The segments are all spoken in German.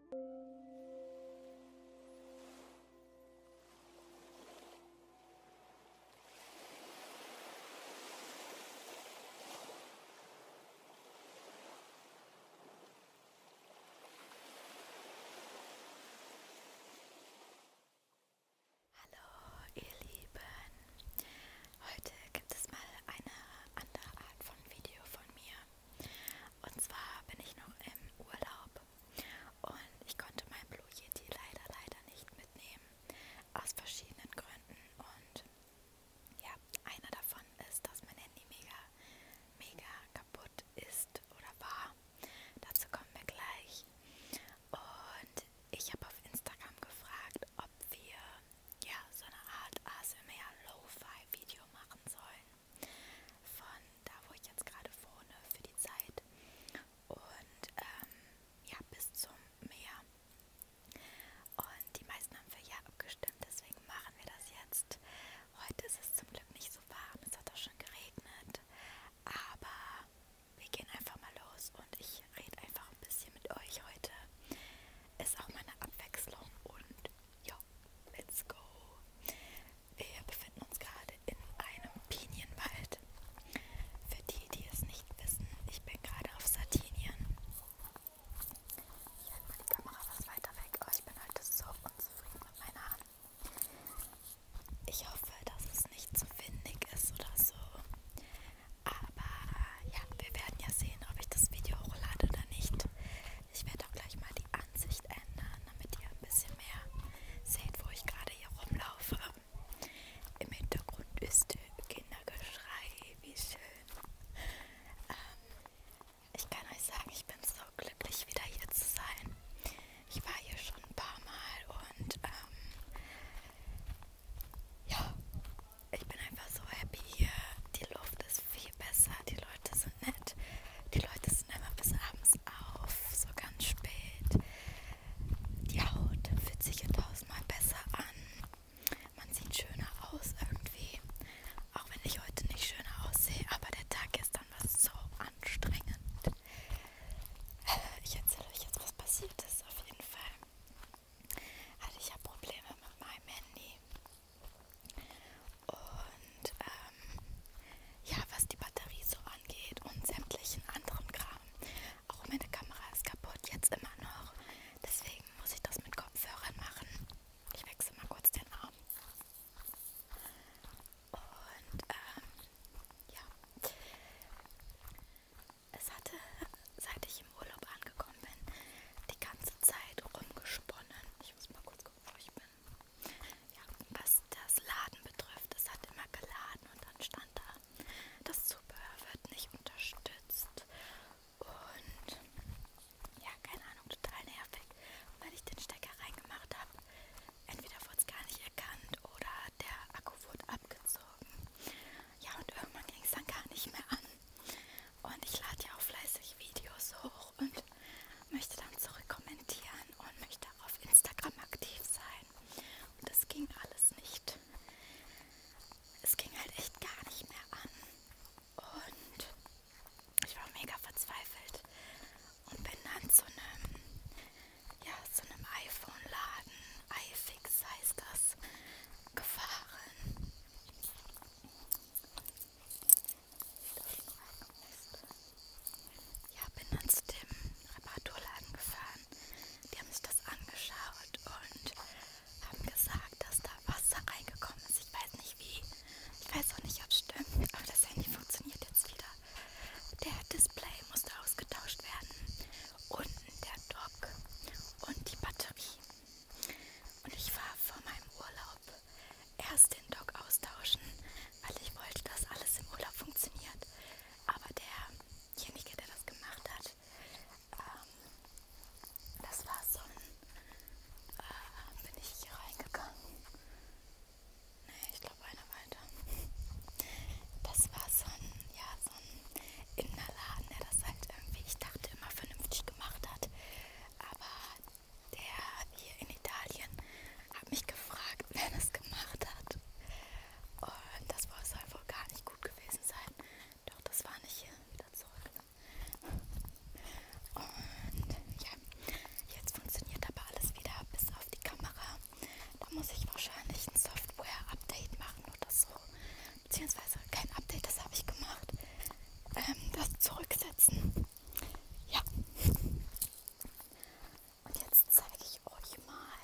Hallo ihr Lieben, heute gibt es mal eine andere Art von Video von mir. Und zwar bin ich noch im Urlaub und ich konnte mein Blue Yeti leider, leider nicht mitnehmen. Aus verschiedenen Gründen. Und ja, einer davon ist, dass mein Handy mega, mega kaputt ist oder war. Dazu kommen wir gleich. Und ich habe auf Instagram gefragt, ob wir ja so eine Art ASMR Lo-Fi Video machen sollen von da, wo ich jetzt gerade wohne, für die Zeit und ähm, ja, bis zum Meer. Und die meisten haben für Ja abgestimmt, deswegen machen wir das jetzt. Heute ist es zum Glück nicht so warm, es hat auch schon geregnet, aber wir gehen einfach mal los und ich rede einfach ein bisschen mit euch heute. Ist auch meine Abwechslung und ja, let's go. Wir befinden uns gerade in einem Pinienwald. Für die, die es nicht wissen, ich bin gerade auf Sardinien. Ich halte mal die Kamera was weiter weg, aber oh, ich bin heute so unzufrieden mit meiner Hand. Ich hoffe, dass es nicht zu windig ist oder so. Aber ja, wir werden ja sehen, ob ich das Video hochlade oder nicht. Ich werde auch gleich mal die Ansicht ändern, damit ihr ein bisschen mehr seht, wo ich gerade hier rumlaufe. Im Hintergrund ist Kindergeschrei, wie schön. Ähm, ich kann euch sagen, ich bin so glücklich, wieder hier zu sein. Ich war hier schon ein paar Mal und ähm, ja, ich bin einfach so happy hier. Die Luft ist ist viel besser. Die Leute sind nett. Die Leute sind immer bis abends auf, so ganz spät. Die Haut fühlt sich tausendmal besser an. Man sieht schöner aus irgendwie. Auch wenn ich heute nicht schöner aussehe, aber der Tag gestern war so anstrengend. Äh, ich erzähle euch jetzt, was passiert ist, auf jeden Fall. Also ich habe Probleme mit meinem Handy. Und ähm, ja, was die Batterie so angeht und sämtlichen anderen Kram. Auch meine Kamera ist kaputt, jetzt immer noch. Deswegen muss ich das mit Kopfhörern machen. Ich wechsle mal kurz den Arm. Und ähm, ja. Es hatte, seit ich im Urlaub angekommen bin, die ganze Zeit rumgesponnen. Ich muss mal kurz gucken wo ich bin. Ja, was das Laden betrifft, es hat immer geladen und dann stand da, das Zubehör wird nicht unterstützt. Und ja, keine Ahnung, total nervig. Weil ich den Stecker reingemacht habe, entweder wurde es gar nicht erkannt oder der Akku wurde abgezogen. Ja, und irgendwann ging es dann gar nicht mehr an. Und ich lade ja auch fleißig Videos hoch und möchte dann zurück kommentieren und möchte auf Instagram aktiv sein. Und das ging alles nicht. Es ging halt echt gar nicht mehr an. Und ich war mega verzweifelt und bin dann zu einem, ja, zu einem iPhone-Laden, iFix heißt das, gefahren. Ja, bin dann zu dem Reparaturladen gefahren. Die haben sich das angeschaut und haben gesagt, dass da Wasser reingekommen ist. Ich weiß nicht wie. Ich weiß auch nicht, ob es stimmt. Aber das Handy funktioniert jetzt wieder. Der Display musste ausgetauscht werden. Unten der Dock und die Batterie. Und ich war vor meinem Urlaub erst den Dock austauschen, weil ich wollte, dass alles im Urlaub funktioniert. Aber derjenige, der das gemacht hat, ähm, das war so ein. Äh, bin ich hier reingegangen? Nee, ich glaube, einer weiter. Das war so ein, ja, so ein Innerladen, der das halt irgendwie, ich dachte, immer vernünftig gemacht hat. Aber der hier in Italien hat mich gefragt, wer das gemacht hat. Und das soll wohl gar nicht gut gewesen sein. Doch das war nicht hier wieder zurück. Ne? Und ja, jetzt funktioniert aber alles wieder bis auf die Kamera. Da muss ich wahrscheinlich ein Software-Update machen oder so. Beziehungsweise kein Update, das habe ich gemacht. Ähm, das zurücksetzen. Ja. Und jetzt zeige ich euch mal,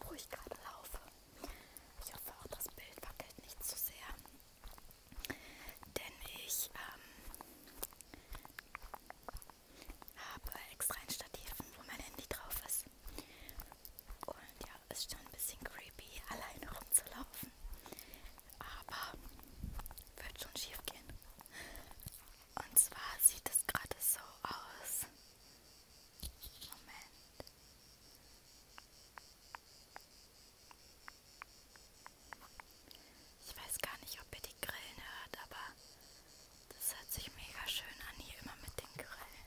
wo ich gerade laufe. Ich hoffe auch, das Bild wackelt nicht zu so sehr. Denn ich ähm, habe extra ein Stativ, wo mein Handy drauf ist. Und ja, ist schon ein bisschen creepy, alleine rumzulaufen aber wird schon schief gehen. Und zwar sieht es gerade so aus. Moment. Ich weiß gar nicht, ob ihr die Grillen hört, aber das hört sich mega schön an hier immer mit den Grillen.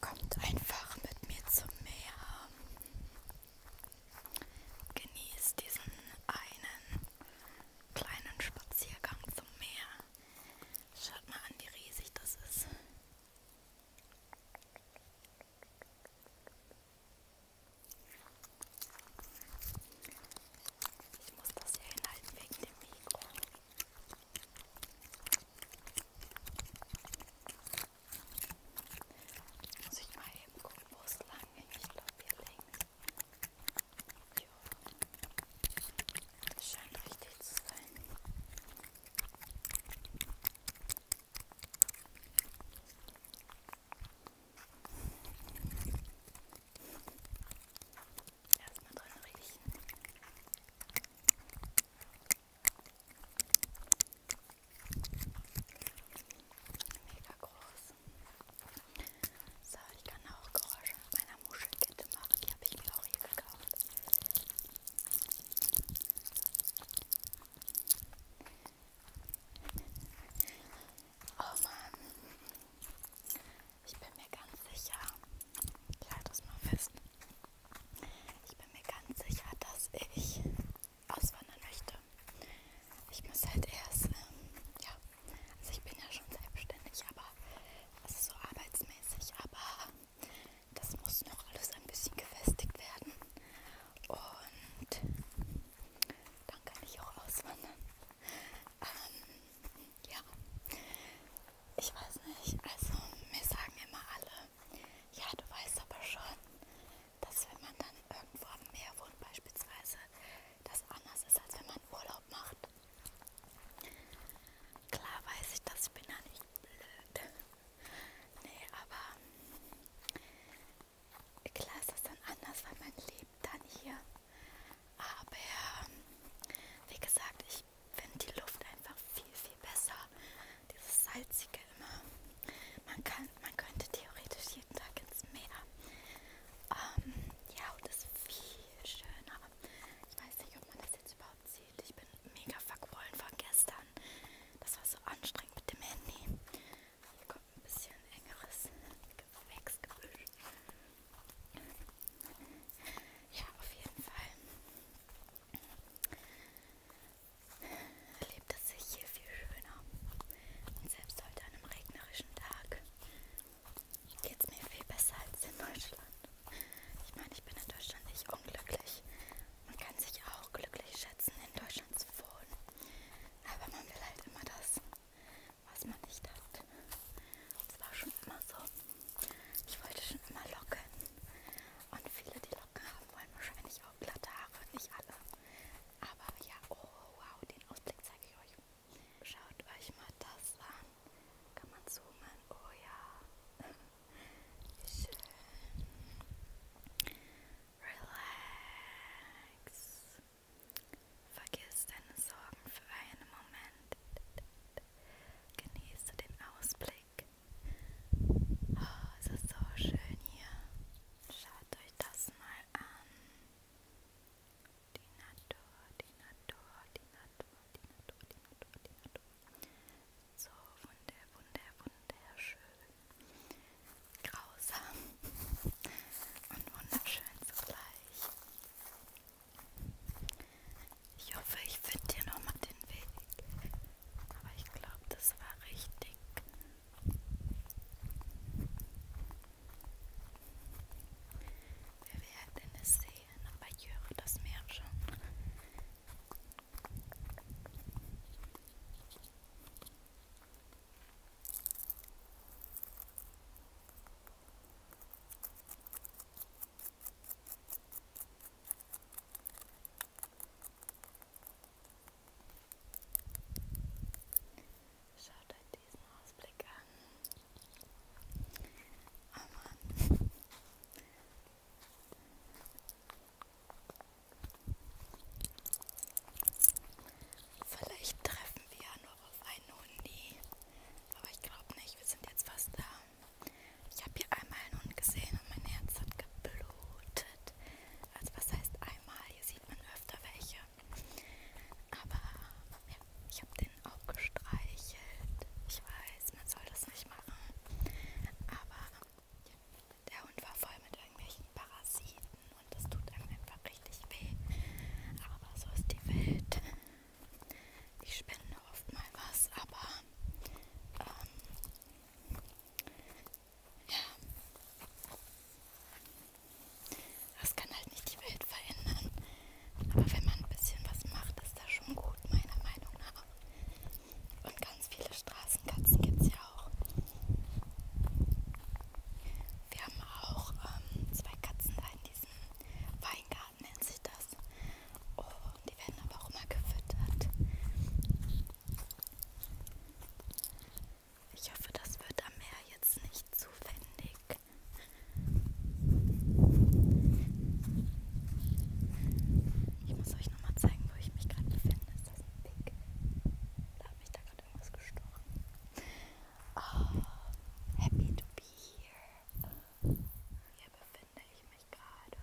Kommt einfach mit mir zum Meer. Genießt diesen einen kleinen Spaziergang zum Meer. Schaut mal an, wie riesig das ist. Ich muss das hier hinhalten wegen dem Mikro. Muss ich mal eben gucken, wo es lang ging. Ich glaube, hier links. Jo. Das scheint richtig zu sein. Erstmal dran riechen. Mega groß. So, ich kann auch Geräusche mit meiner Muschelkette machen. Die habe ich mir auch hier gekauft. Oh Mann. Ich bin mir ganz sicher, ich halte es mal fest, ich bin mir ganz sicher, dass ich auswandern möchte. Ich muss halt erst, ähm, ja, also ich bin ja schon selbstständig, aber es ist so arbeitsmäßig, aber das muss noch alles ein bisschen gefestigt werden. Und dann kann ich auch auswandern. Ähm, ja, ich weiß nicht, also mir sagen immer alle, ja, du weißt aber schon, dass wenn man dann irgendwo am Meer wohnt beispielsweise, das anders ist, als wenn man Urlaub macht. Klar weiß ich das, ich bin ja nicht blöd. Nee, aber klar ist das dann anders, weil man lebt dann hier. Aber wie gesagt, ich finde die Luft einfach viel, viel besser. Dieses salzige immer. Man, kann, man könnte theoretisch jeden Tag ins Meer. Ähm, die Haut ist viel schöner. Ich weiß nicht, ob man das jetzt überhaupt sieht. Ich bin mega verquollen von gestern. Das war so anstrengend mit dem Handy. Hier kommt ein bisschen engeres Gewächsgebüsch. Ja, auf jeden Fall erlebt es sich hier viel schöner. Und selbst heute an einem regnerischen Tag geht es mir viel besser als in Deutschland. Ich meine, ich bin in Deutschland nicht unglücklich. Man kann sich auch glücklich schätzen, in Deutschland zu wohnen. Aber man will halt immer das, was man nicht hat. Das war schon immer so. Ich wollte schon immer locken. Und viele, die Locken haben, wollen wahrscheinlich auch glatte Haare. Nicht alle. Aber ja, oh wow, den Ausblick zeige ich euch. Schaut euch mal das an. Kann man zoomen? Oh ja. Wie schön. Relax. Vergiss deine Sorgen für einen Moment. Genieße den Ausblick. Oh, es ist so schön hier. Schaut euch das mal an. Die Natur, die Natur, die Natur, die Natur, die Natur, die Natur. So wunder, wunder, wunderschön. Grausam und wunderschön zugleich. Ich hoffe, ich finde hier nochmal den Weg. Aber ich glaube, das war richtig. Wir werden es sehen, aber ich höre das Meer schon. Schaut euch diesen Ausblick an. Oh Mann. Vielleicht treffen wir ja noch auf einen Hundi. Aber ich glaube nicht, wir sind jetzt fast da. Ich habe hier einmal einen Hund gesehen und mein Herz hat geblutet. Also was heißt einmal? Hier sieht man öfter welche. Aber ja, ich habe den auch gestreichelt. Ich weiß, man soll das nicht machen. Aber ja, der Hund war voll mit irgendwelchen Parasiten und das tut einem einfach richtig weh. Aber so ist die Welt. Ich spende oft mal was, aber ähm, ja, das kann halt nicht die Welt verändern. Aber wenn man ein bisschen was macht, ist das schon gut, meiner Meinung nach. Und ganz viele Straßenkatzen gibt es ja auch. Wir haben auch ähm, zwei Katzen da in diesem Weingarten. Kindergarten nennt sich das. Und die werden aber auch immer gefüttert. Ich hoffe, das wird am Meer jetzt nicht zufällig. Ich muss euch nochmal zeigen, wo ich mich gerade befinde. Ist das ein Pick? Da hat mich da gerade irgendwas gestochen. Oh, happy to be here. Hier befinde ich mich gerade.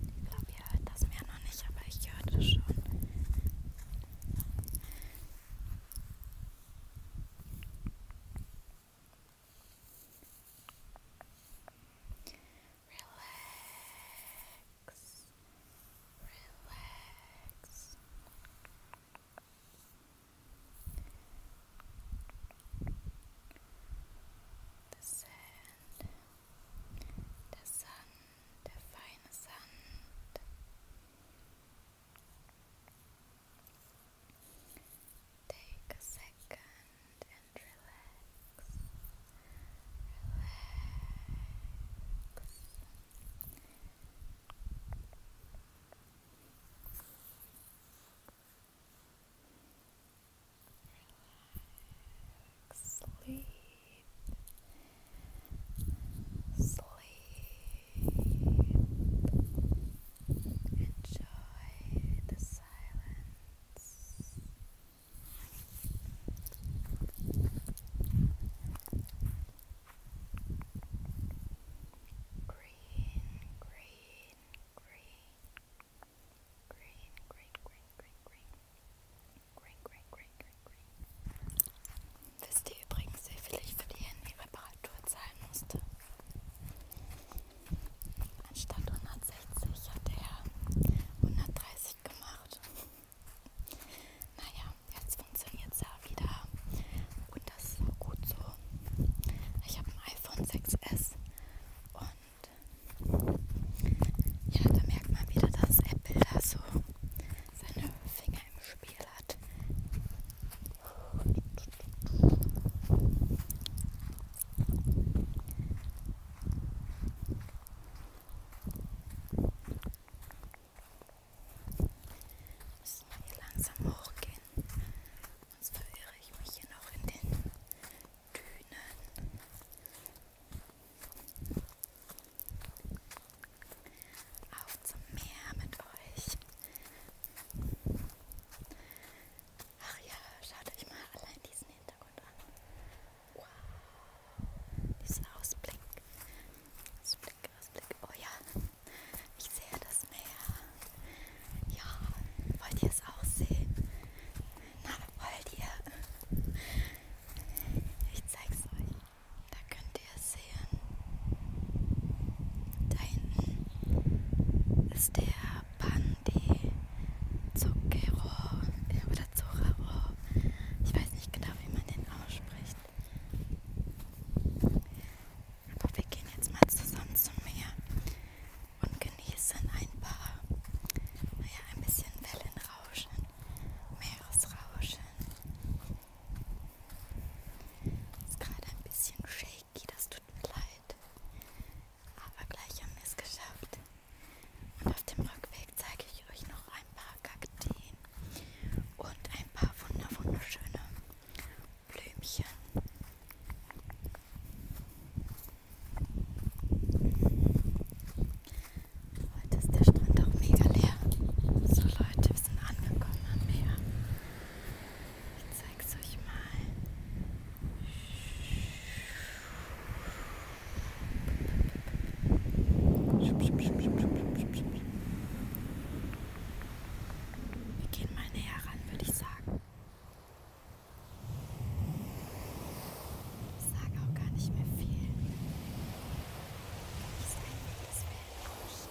Ich glaube, ihr hört das mir noch nicht, aber ich hörte schon. Relax. Relax. The sand, the sun, the fine sand. Take a second and Relax. Relax. Sleep. Sleep. Enjoy the silence. Green, green green, green, green, green, green, green, green, green, green, green, green, green. Wisst ihr übrigens, wie viel ich für die Handy-Reparatur zahlen musste? Anstatt 160 hat er 130 gemacht. Naja, jetzt funktioniert es ja wieder. Und das ist auch gut so. Ich habe ein iPhone 6S und ja, da merkt man wieder, dass Apple da so seine Finger im Spiel hat. Müssen wir hier langsam hochgehen. Sonst verirre ich mich hier noch in den Dünen. Auf zum Meer mit euch. Ach ja, schaut euch mal allein diesen Hintergrund an. Wow, dieser Ausblick. Ausblick, Ausblick. Oh ja, ich sehe das Meer. Ja, wollt ihr es auch sehen? Na, wollt ihr? Ich zeig's euch. Da könnt ihr es sehen. Da hinten ist der Pandi Zucchero oder Zoraro. Ich weiß nicht genau, wie man den ausspricht. Aber wir gehen jetzt mal zusammen zum Meer und genießen ein paar, naja, ein bisschen Wellenrauschen, Meeresrauschen. Ist gerade ein bisschen shaky, das tut mir leid. Aber gleich haben wir es geschafft. Und auf dem Rückweg zeige ich euch noch ein paar Kakteen und ein paar wunder wunderschöne Blümchen. Heute ist der Strand auch mega leer. So Leute, wir sind angekommen am Meer. Ich zeig's euch mal. Wir gehen mal näher ran, würde ich sagen. Ich sage auch gar nicht mehr viel. Ich sage das Weltrauschen.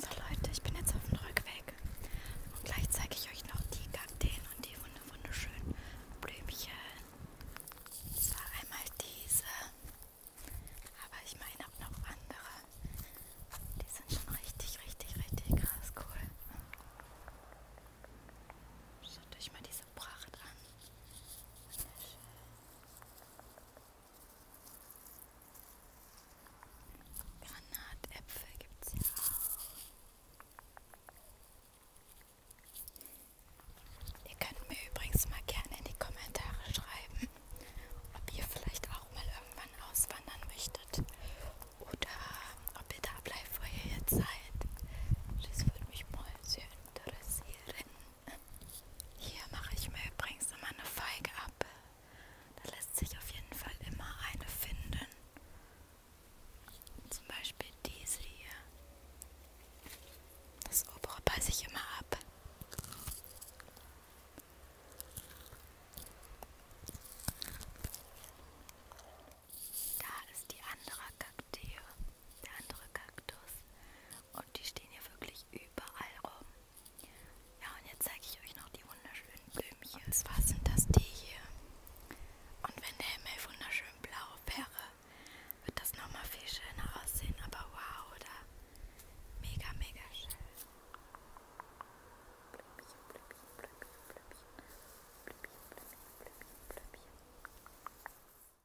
So Leute, ich bin jetzt auf dem Rückweg und gleich zeige ich euch noch die Kakteen und die wunderschönen Blümchen. Das war einmal diese, aber ich meine auch noch andere. Die sind schon richtig, richtig, richtig krass cool. Schaut euch mal diese diese Pracht an. Wunderschön. Granatäpfel gibt es ja auch. Ihr könnt mir übrigens mal gerne in die Kommentare schreiben, ob ihr vielleicht auch mal irgendwann auswandern möchtet oder ob ihr da bleibt, wo ihr jetzt seid. Das würde mich mal sehr interessieren. Hier mache ich mir übrigens immer eine Feige ab. Da lässt sich auf jeden Fall immer eine finden. Zum Beispiel diese hier. Das obere passe ich immer ab. Da ist die andere Kakteen der andere Kaktus. Und die stehen hier wirklich überall rum. Ja, und jetzt zeige ich euch noch die wunderschönen Blümchen. Und zwar sind das die hier. Und wenn der Himmel wunderschön blau wäre, wird das nochmal viel schöner aussehen. Aber wow, oder? Mega, mega schön. Blümchen, Blümchen, Blümchen, Blümchen. Blümchen, Blümchen, Blümchen, Blümchen.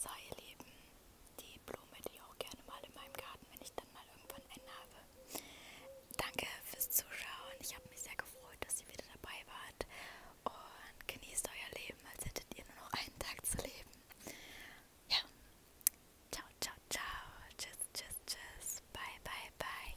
So ihr Lieben, die Blume, die ich auch gerne mal in meinem Garten, wenn ich dann mal irgendwann einen habe. Danke fürs Zuschauen. Ich habe mich sehr gefreut, dass ihr wieder dabei wart. Und genießt euer Leben, als hättet ihr nur noch einen Tag zu leben. Ja. Ciao, ciao, ciao. Tschüss, tschüss, tschüss. Bye, bye, bye.